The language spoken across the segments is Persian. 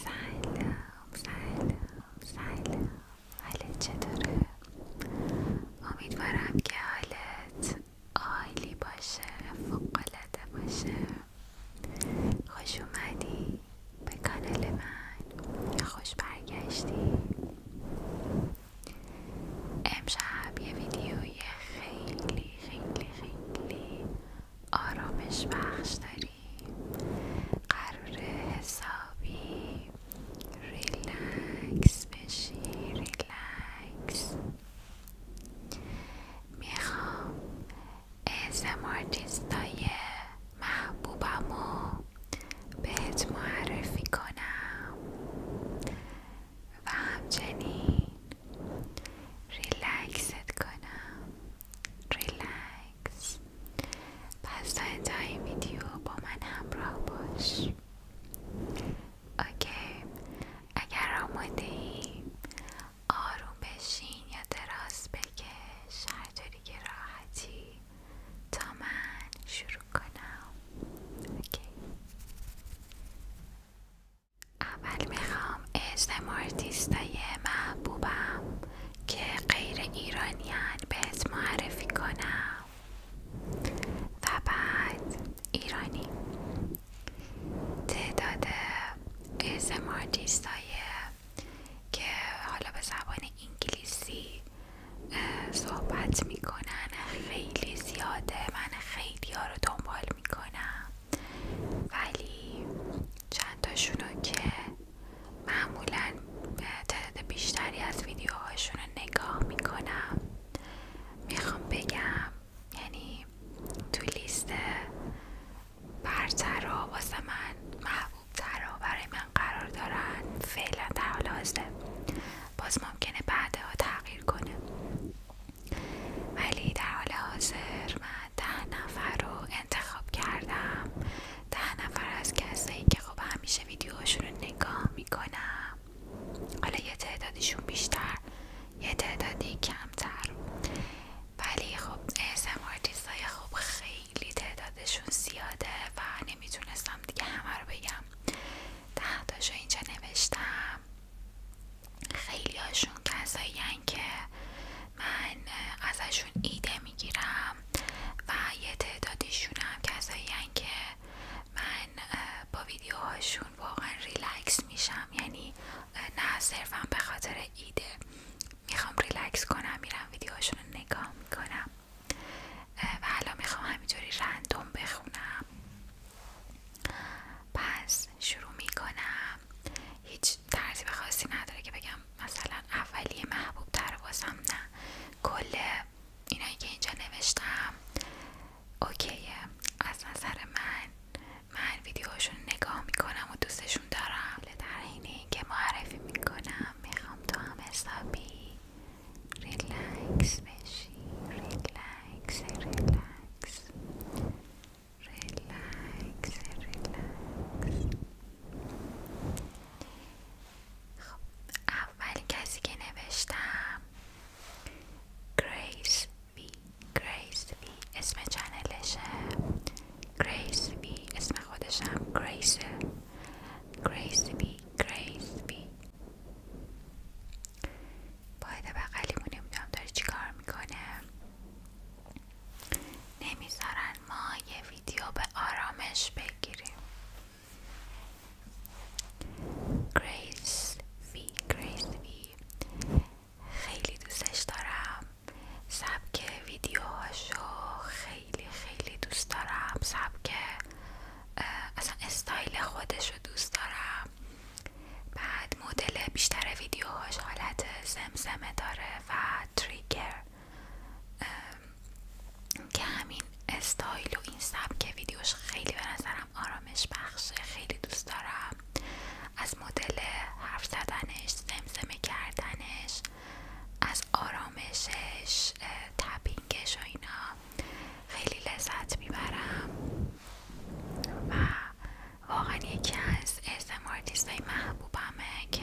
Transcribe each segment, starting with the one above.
سلام سلام سلام حالت چطوره؟ امیدوارم که حالت عالی باشه فوقالعاده باشه خوش اومدی به کانال من یا خوش برگشتی امشب یه ویدیوی خیلی خیلی خیلی آرامش بخش داریم قرار حسابی ریلکس بشی ریلکس میخوام ازمارتیستای محبوبمو بهت معرفی کنم و همچنین ریلکست کنم ریلکس پس تا این ویدیو با من همراه باش اوکی اگر آماده آروم بشین یا دراز بکش هرطوری راحتی تا من شروع کنم اوکی اول میخوام اسم آرتیستای محبوبم که غیر ایرانیان بهت معرفی کنم و بعد ایرانی تعداد اسمارتیست که حالا به زبان انگلیسی صحبت میکنن خیلی زیاده من خیلی ها رو دنبال میکنم ولی چند که معمولا تعداد بیشتری از ویدیوهاشون نگاه میکنم میخوام بگم یعنی تو لیست برتر واسه من محبوب و برای من قرار دارن فعلا در حال حاضر باز ممکنه بعدها تغییر کنه ولی در حال حاضر من ده نفر رو انتخاب کردم ده نفر از کسایی که خب همیشه ویدیوهاشون رو نگاه میکنم حالا یه تعدادشون بیشتر یه تعدادی کمتر ولی خب ASMR دیستای خب خیلی تعدادشون زیاده و نمیتونستم دیگه همه رو بگم ده اینجا نوشتم خیلی هاشون کسایی که من ازشون ایده میگیرم و یه تعدادیشون هم کسایی که من با ویدیوهاشون واقعا ریلکس میشم یعنی نه صرفا به خاطر ایده میخوام ریلکس کنم میرم ویدیوهاشون رو نگاه میکنم و حالا میخوام همینطوری رندوم بخونم پس شروع میکنم هیچ ترتیب خاصی نداره که بگم مثلا اولیه محبوب تر واسم نه کل اینایی که اینجا نوشتم اوکیه از نظر من من ویدیوهاشون نگاه میکنم و دوستشون دارم در اینه که معرفی میکنم میخوام تو هم حسابی ریلکس بشی ریلکس ریلکس ریلکس ریلکس خب اول کسی که نوشتم گریس بی گریس بی اسم چنلشه گریس بی اسم خودشم گریسه گریس بی گریس بی باید بغلیمون نمیدونم داره چی کار میکنه نمیذارن ما یه ویدیو به آرامش بگیریم Grace V Grace وی خیلی دوستش دارم سبک ویدیوهاشو خیلی خیلی دوست دارم سبک اصلا استایل خودشو دوست دارم بعد مدل بیشتر ویدیوهاش حالت زمزمه داره و تریگر که همین استایل و این سبک ویدیوش خیلی به نظرم آرامش بخشه خیلی دوست دارم از مدل حرف زدنش زمزمه کردنش از آرامشش تپینگش و اینا خیلی لذت میبرم و واقعا یکی از اسمارتیست های محبوبمه که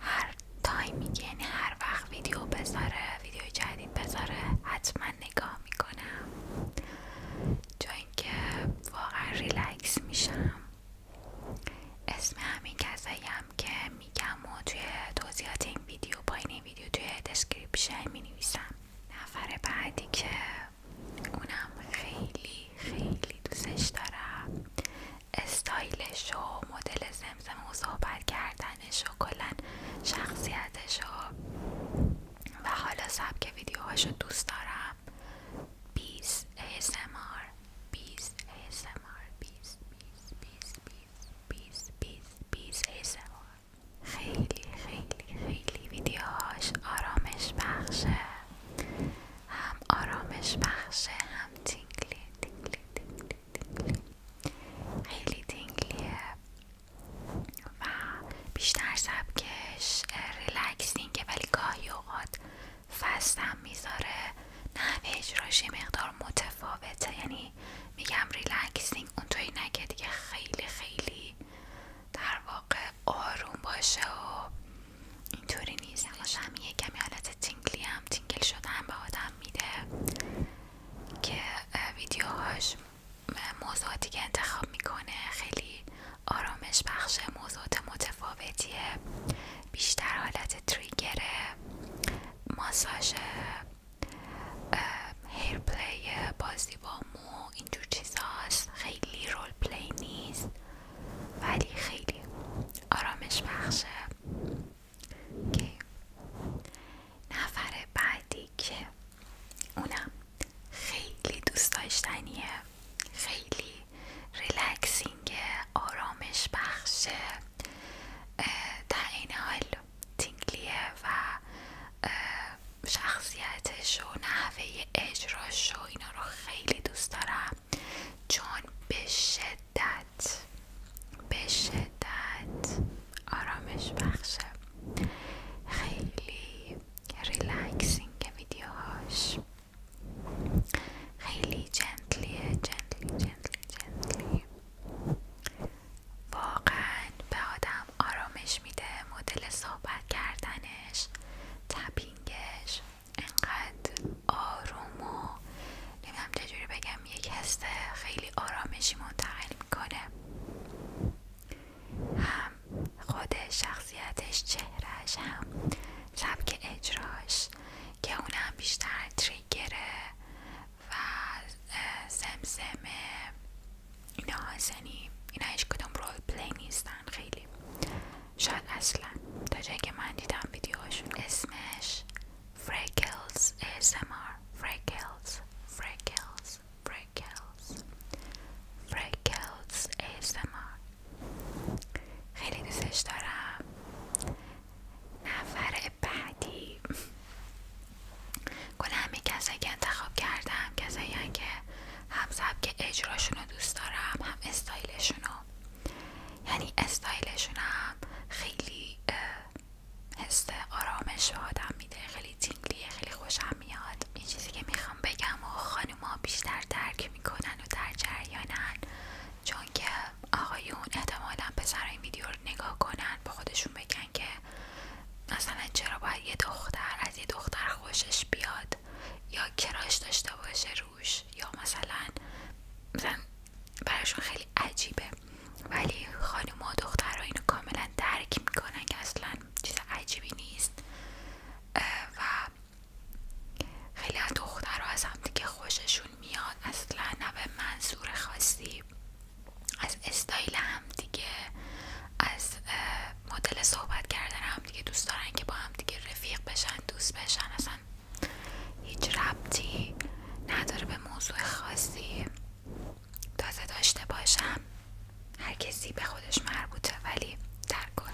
هر تایمی که یعنی هر وقت ویدیو بذاره ویدیو جدید بذاره حتما نگاه میکنم چون اینکه واقعا ریلکس میشم اسم همین کسایی هم که میگم و توی توضیحات این ویدیو با این ویدیو توی دسکریپشن مینویسم نفر بعدی که اونم خیلی خیلی دوستش دارم استایلش و مدل زمزم و صحبت کردنش و کلا شخصیتش و و حالا سبک ویدیوهاش رو دوست دارم 20 ASMR 20 ASMR 20 20 20 20 ASMR خیلی خیلی خیلی ویدیوهاش آرامش بخشه هم آرامش بخشه هم تینگلی تینگلی تینگلی خیلی تینگلیه و بیشتر سبکش ریلکسینگه ولی گاهی اوقات فستم میذاره نه اجراش یه مقدار متفاوته یعنی میگم ریلکسینگ اون توی دیگه خیلی خیلی در واقع آروم باشه و اینطوری نیست الاشم یه حالت تینگلی هم تینگل شده هم به آدم میده که ویدیوهاش موضوعاتی که انتخاب میکنه خیلی آرامش بخش موضوعات متفاوتیه بیشتر حالت تریگره ماساژ هیر پلی باز با مو اینجور خیلی رول پلی نیست ولی خیلی آرامش بخشه که نفر بعدی که اونم خیلی دوست داشتنیه خیلی ریلکسینگه آرامش بخشه در این حال تینگلیه و شخصیتش و نحوه اجراش و اینا رو خیلی دوست دارم چون به شدت به شدت آرامش بخشه خیلی ریلکسینگ ویدیوهاش خیلی جنتلیه جنتلی جنتلی جنتلی واقعا به آدم آرامش میده مدل صحبت کردنه تونش تپینگش انقدر آروم و نمیدونم چجوری بگم یک حس خیلی آرامشی منتقل میکنه هم خود شخصیتش چهرهش، هم سبک اجراش که اونم بیشتر تریگره و زمزمه اینا زنی، اینا هیچ کدوم رول پلی نیستن خیلی شاید اصلا تا جایی که من دیدم ویدیوشون اسمش فرکلز ASMR فرکلز فرکلز فرکلز فرکلز خیلی دوستش دارم نفر بعدی کلا همه کسایی که انتخاب کردم کسایی که هم سبک اجراشون رو دوست دارم هم استایلشونو رو یعنی استایلشون هم خیلی حس آرامش آدم میده خیلی تینگلیه خیلی خوشم میاد این چیزی که میخوام بگم و ها بیشتر درک میکنن و در جریانن چون که آقایون احتمالا پسرهای این ویدیو رو نگاه کنن با خودشون بگن که مثلا چرا باید یه دختر از یه دختر خوشش بیاد یا کراش داشته باشه روش یا مثلا مثلا براشون خیلی عجیبه ولی خانم و دخترها اینو کاملا درک میکنن که اصلا چیز عجیبی نیست و خیلی از دخترها از هم دیگه خوششون میاد اصلا نه به منظور خاصی از استایل دیگه از مدل صحبت کردن هم دیگه دوست دارن که با هم دیگه رفیق بشن دوست بشن اصلا هیچ ربطی نداره به موضوع خاصی تازه داشته باشم هر کسی به خودش مربوطه ولی در کل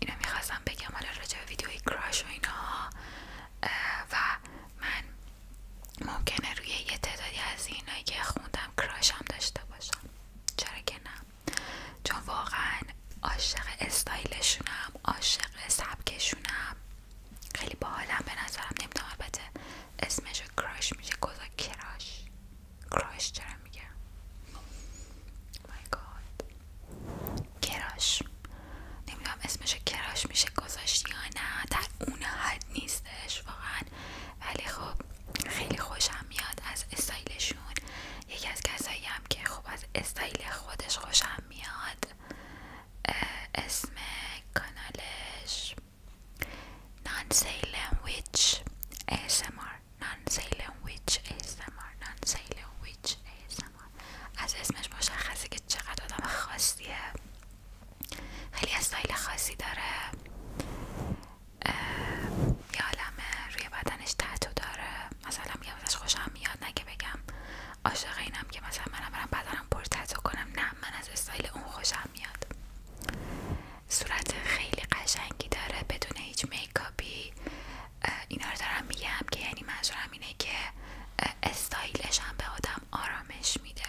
اینو میخواستم بگم حالا راجع به ویدیوی کراش و اینا و من ممکنه روی یه تعدادی از اینایی که خوندم کراش هم داشته باشم چرا که نه چون واقعا عاشق استایلشونم عاشق سبکشونم خیلی باحالم به نظرم نمیدونم البته اسمشو کراش میشه گذا کراش کراش چرا میگم مای گاد کراش نمیدونم اسمشو کراش میشه گذاشت یا نه در اون حد نیستش واقعا ولی خوب خیلی خوشم میاد از استایلشون یکی از کسایی هم که خوب از استایل خودش خوشم میاد اسم کانالش نانسیلم ویچ ASMR نانسیلم ASMR از اسمش مشخصه که چقدر آدم خاصیه خیلی استایل خاصی داره یه عالمه روی بدنش تتو داره مثلا میگم ازش خوشم میاد نه که بگم عاشق اینم که مثلا منم برم بدنم پر تتو کنم نه من از استایل اون خوشم میاد صورت خیلی قشنگی داره بدون هیچ میکاپی اینا دارم میگم که یعنی منظورم اینه که استایلش هم به آدم آرامش میده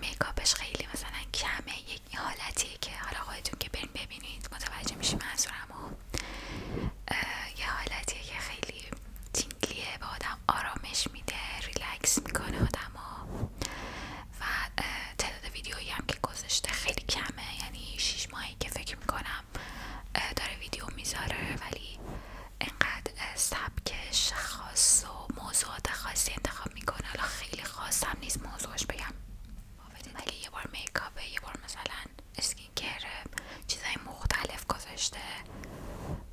میکاپش خیلی مثلا کمه این حالتیه که حالا خودتون که برین ببینید متوجه میشی و یه حالتیه که خیلی تینگلیه به آدم آرامش میده ریلکس میکنه آدم و تعداد ویدیوی هم که گذاشته خیلی کمه یعنی 6 ماهی که فکر میکنم داره ویدیو میذاره ولی انقدر سبکش خاص و موضوعات خاصی انتخاب میکنه خیلی خواستم نیست موضوعش بگم ولی یه بار میکاپه یه بار مثلا اسکین کره چیزای مختلف گذاشته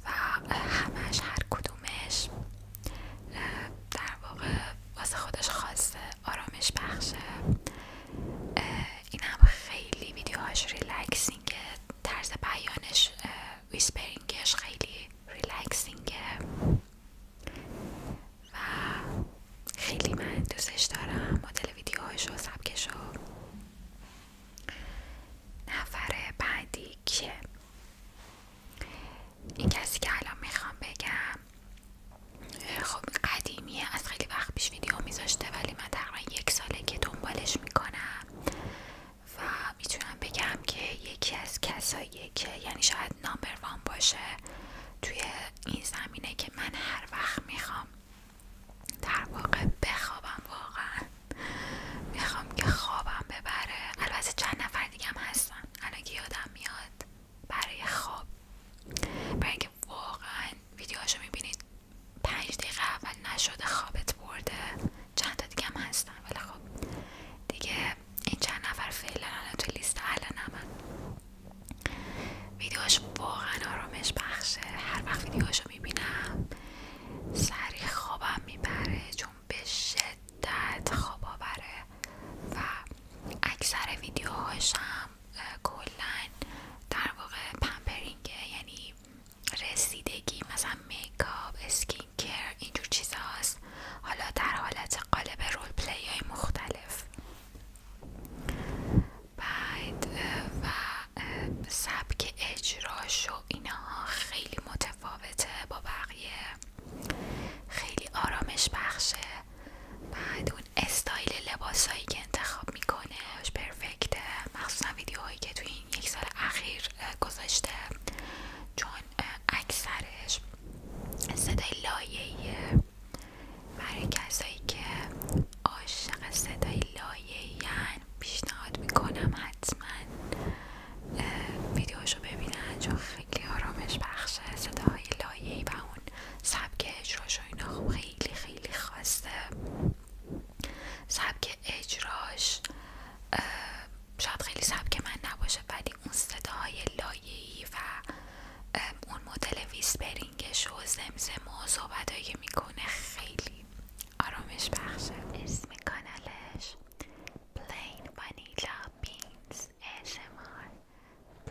و همش هر کدومش در واقع واسه خودش خاصه آرامش بخشه این هم خیلی ویدیوهاش ریلکسینگه طرز بیانش ویسپرینگش خیلی ریلکسینگه و خیلی من دوستش دارم مدل ویدیوهاش و سبکش و نفر بعدی که این کسی که الان میخوام بگم خب قدیمیه از خیلی وقت پیش ویدیو میذاشته ولی من تقریبا یک ساله که دنبالش میکنم و میتونم بگم که یکی از کسایی یعنی شاید نامبر وان باشه توی این زمینه که من هر وقت میخوام در واقع بخوابم واقعا میخوام که خوابم ببره البته چند نفر دیگه هم هستن الان که یادم میاد برای خواب برای اینکه واقعا رو میبینید پنج دقیقه اول نشده خوابت برده چند تا دیگه هم هستن ولی خب دیگه این چند نفر فعلا الان تو لیست اهل من ویدیوهاش واقعا آرامش بخشه هر وقت ویدیوهاشو میبینم سریع خوابم میبره چون به شدت خواب آوره و اکثر هم کلا در واقع پمپرینگه یعنی رسیدگی مثلا میکاپ اسکین که اینجور چیز حالا در حالت قالب رول پلی های مختلف بعد و سبک اجراش و اینها خیلی متفاوته با بقیه خیلی آرامش بخشه بعد اون استایل لباسایی که انتخاب میکنه پرفکته مخصوصا هایی که توی این یک سال اخیر گذاشته چون اکثرش صدای لایهیه برای کسایی که عاشق صدای لایهیان یعنی پیشنهاد میکنم حتما ویدیوشو ببینن چون خیلی آرامش بخشه صداهای ای و اون سبک اجراش و خب خیلی خیلی خواسته سبک اجراش شاید خیلی سبک من نباشه ولی اون صداهای ای و اون مودل ویسپرینگش و زمزم و صحبتهایی میکنه خیلی آرامش بخشه اسم کانالش پلین ونیلا بینز ASMR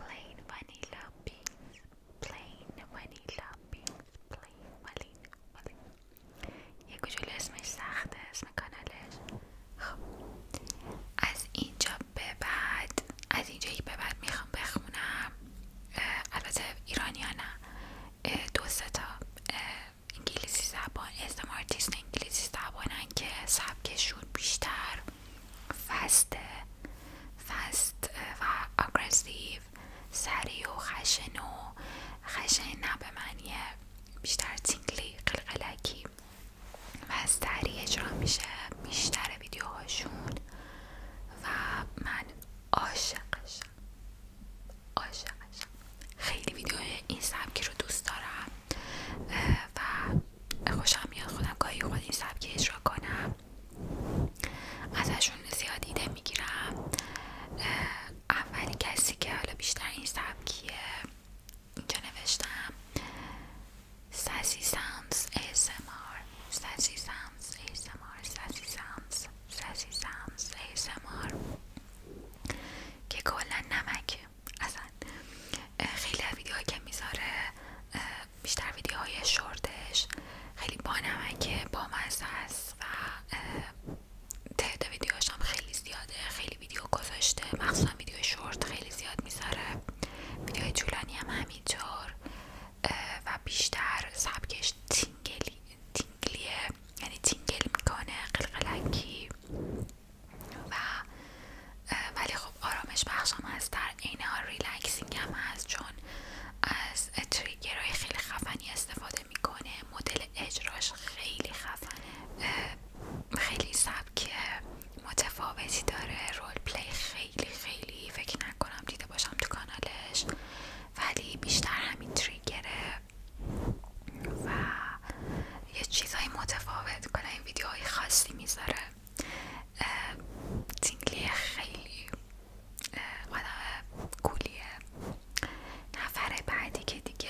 پلین ونیلا بینز پلین ونیلا بینز یه کوچولو اسمش سخته اسم کانالش خب از اینجا به بعد از اینجا به بعد میخوام بخونم البته ایرانی ها نه دو تا انگلیسی زبان اسم آرتیست انگلیسی زبانن که سبکشون بیشتر فسته فست و آگرسیو سریع و خشن و خشن نه به معنی بیشتر تینگلی قلقلکی و سریع اجرا میشه بیشتر ویدیوهاشون و من عاشقشم عاشقشم خیلی ویدیوهای این سبکی رو دوست دارم و خوشم میاد خودم گاهی خود این سبکی اجرا کنم ازشون زیاد ایده میگیرم اولین کسی که حالا بیشتر این سبکیه اینجا نوشتم سسی سامز ASMR سسی سامز ASMR سسی که کلا نمکه اصلا خیلی ویدیوهایی که میذاره بیشتر ویدیوهای شورتش خیلی با نمکه با مزه است و تعداد ویدیو هم خیلی زیاده خیلی ویدیو گذاشته مخصوصا ویدیو شورت خیلی زیاد میذاره ویدیوهای طولانی هم همینطور و بیشتر سبکش تینگلی تینگلیه یعنی تینگل میکنه قلقلکی و ولی خب آرامش بخش هم هست در عین حال ریلکسینگ هم هست چون از تریگرهای خیلی خفنی استفاده میکنه مدل اجراش خیلی خفنه خیلی سبک متفاوتی داره رول پلی خیلی خیلی فکر نکنم دیده باشم تو کانالش ولی بیشتر همین تریگره و یه چیزهای متفاوت کنه این ویدیوهای خاصی میذاره سینگلی خیلی آدم کولیه نفر بعدی که دیگه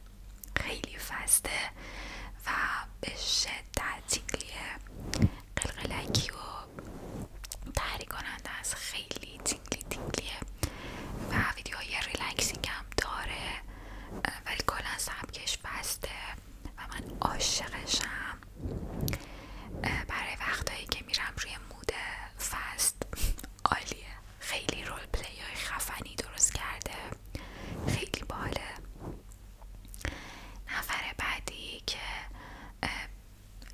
خیلی فسته و به شدت تیکلیه قلقلکی و تحری کننده از خیلی تیکلی تیکلیه و ویدیوهای ریلکسینگ هم داره ولی کلا سبکش بسته و من عاشقشم برای وقتهایی که میرم روی مود فست عالیه خیلی رول پلی های خفنی درست کرده خیلی باله نفر بعدی که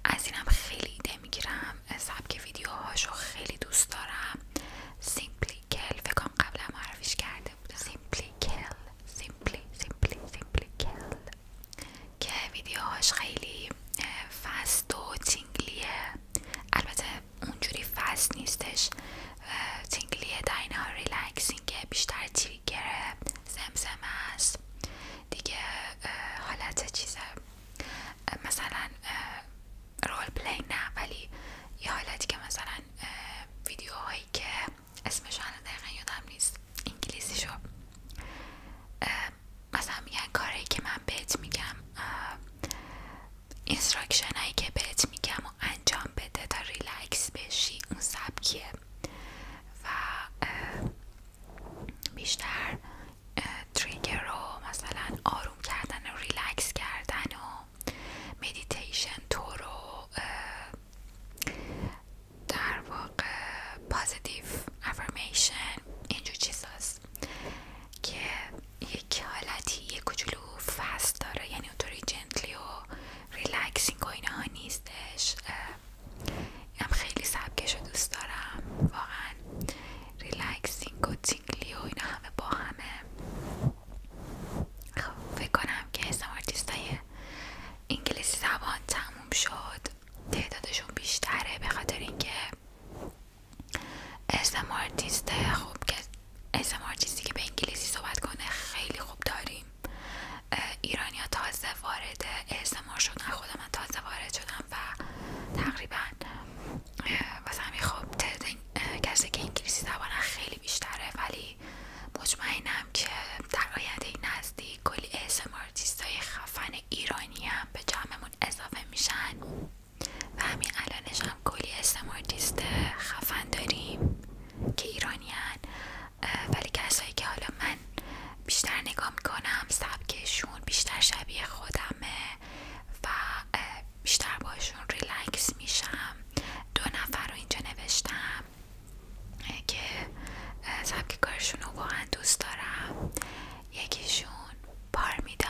از اینم خیلی ایده میگیرم سبک رو خیلی دوست دارم سیمپلی کل فکرم قبلا معرفیش کرده بوده سیمپلی کل سیمپلی سیمپلی سیمپلی کل که ویدیوهاش خیلی فست و تینگلیه البته اونجوری فست نیستش تینگلی در این که بیشتر تریگر زمزم است دیگه حالت چیزه مثلا رول پلی نه ولی یه حالتی که مثلا ویدیوهایی که اسمش حالا دقیقا یادم نیست انگلیسی شو مثلا میگن کاری که من بهت میگم اینستراکشن هایی که بهت میگم و انجام بده تا ریلکس بشی اون سبکیه و بیشتر تریگر رو مثلا آروم کردن و ریلکس کردن و مدیتیشن تو رو در واقع پازیتیو افرمیشن اینجور چیز که یک حالتی یک کوچولو فست داره یعنی اونطوری جنتلی و ریلکسینگ و اینها نیستش هم خیلی سبکش رو دوست دارم واقعا ریلکسینگ و تینگلی و اینا همه با همه خب، فکر کنم که اسم آرتیستای انگلیسی زبان تموم شد تعدادشون بیشتره به خاطر اینکه اسمارتیست خوب که اسمارتیستی که به انگلیسی صحبت کنه خیلی خوب داریم ایرانیا تازه وارد اسمار شدن خود من تازه وارد شدم و تقریباً واسه همین خب کسی که انگلیسی زبانه خیلی بیشتره ولی مطمئنم که در آینده نزدیک کلی اسم های خفن ایرانی هم به جمعمون اضافه میشن و همین الانش هم کلی استمارتیست خفن داریم که ایرانیان ولی کسایی که حالا من بیشتر نگاه میکنم سبکشون بیشتر شبیه خودمه و بیشتر باشون ریلکس میشم دو نفر رو اینجا نوشتم که سبک کارشون رو واقعا دوست دارم یکیشون پارمیدا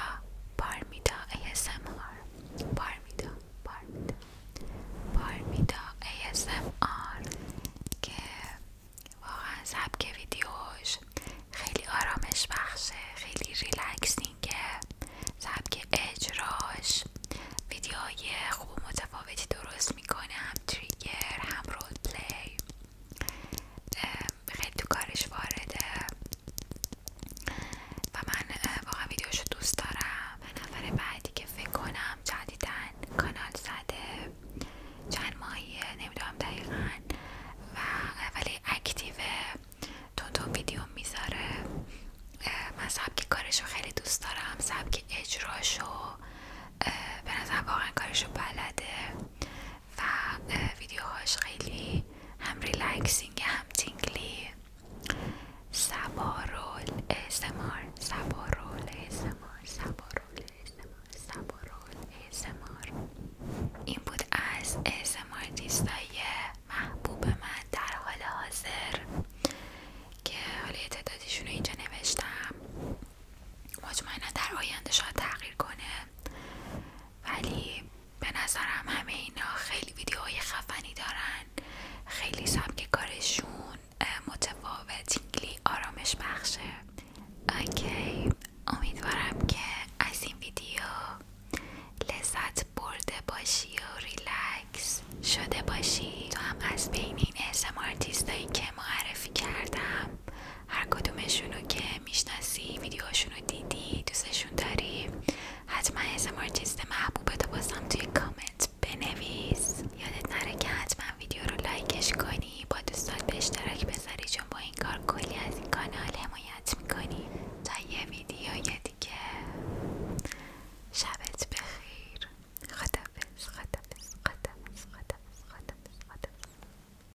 پارمیدا ASMR پارمیدا پارمیدا پارمیدا آر که واقعا سبک ویدیوش خیلی آرامش بخشه خیلی ریلکسینگه سبک اجراش ویدیوهای خوب متفاوتی درست میکنه هم تریگر هم رول پلی خیلی تو کارش وارده و من واقعا ویدیوشو دوست دارم و نفر بعدی که فکر کنم جدیدن کانال زده چند ماهیه نمیدونم دقیقا و ولی اکتیو تو تو ویدیو میذاره من سبک کارشو خیلی دوست دارم سبک اجراشو به نظر واقعا کارشو بلده و ویدیوهاش خیلی هم ریلکسینگ هم تینگلی سبارول اسمار سبارول اسمار سبارول اسمار اسمار این بود از اسمار دیستای محبوب من در حال حاضر که حالا تعدادشون اینجا نوشتم مطمئنا در آینده شاید تغییر کنه ولی به نظرم همه اینا خیلی ویدیوهای خفنی دارن خیلی سبک کارشون متفاوت خیلی آرامش بخشه اوکی امیدوارم که از این ویدیو لذت برده باشی و ریلکس شده باشی تو هم از بین این اسم هایی که معرفی کردم هر کدومشونو که میشناسی ویدیوهاشونو دیدی دوستشون داری حتما اسمار چیست محبوبتو بازم توی کامنت بنویس یادت نره که حتما ویدیو رو لایکش کنی با دوستات به اشتراک بذاری چون با این کار کلی از این کانال حمایت میکنی تا یه ویدیو دیگه شبت بخیر خدافز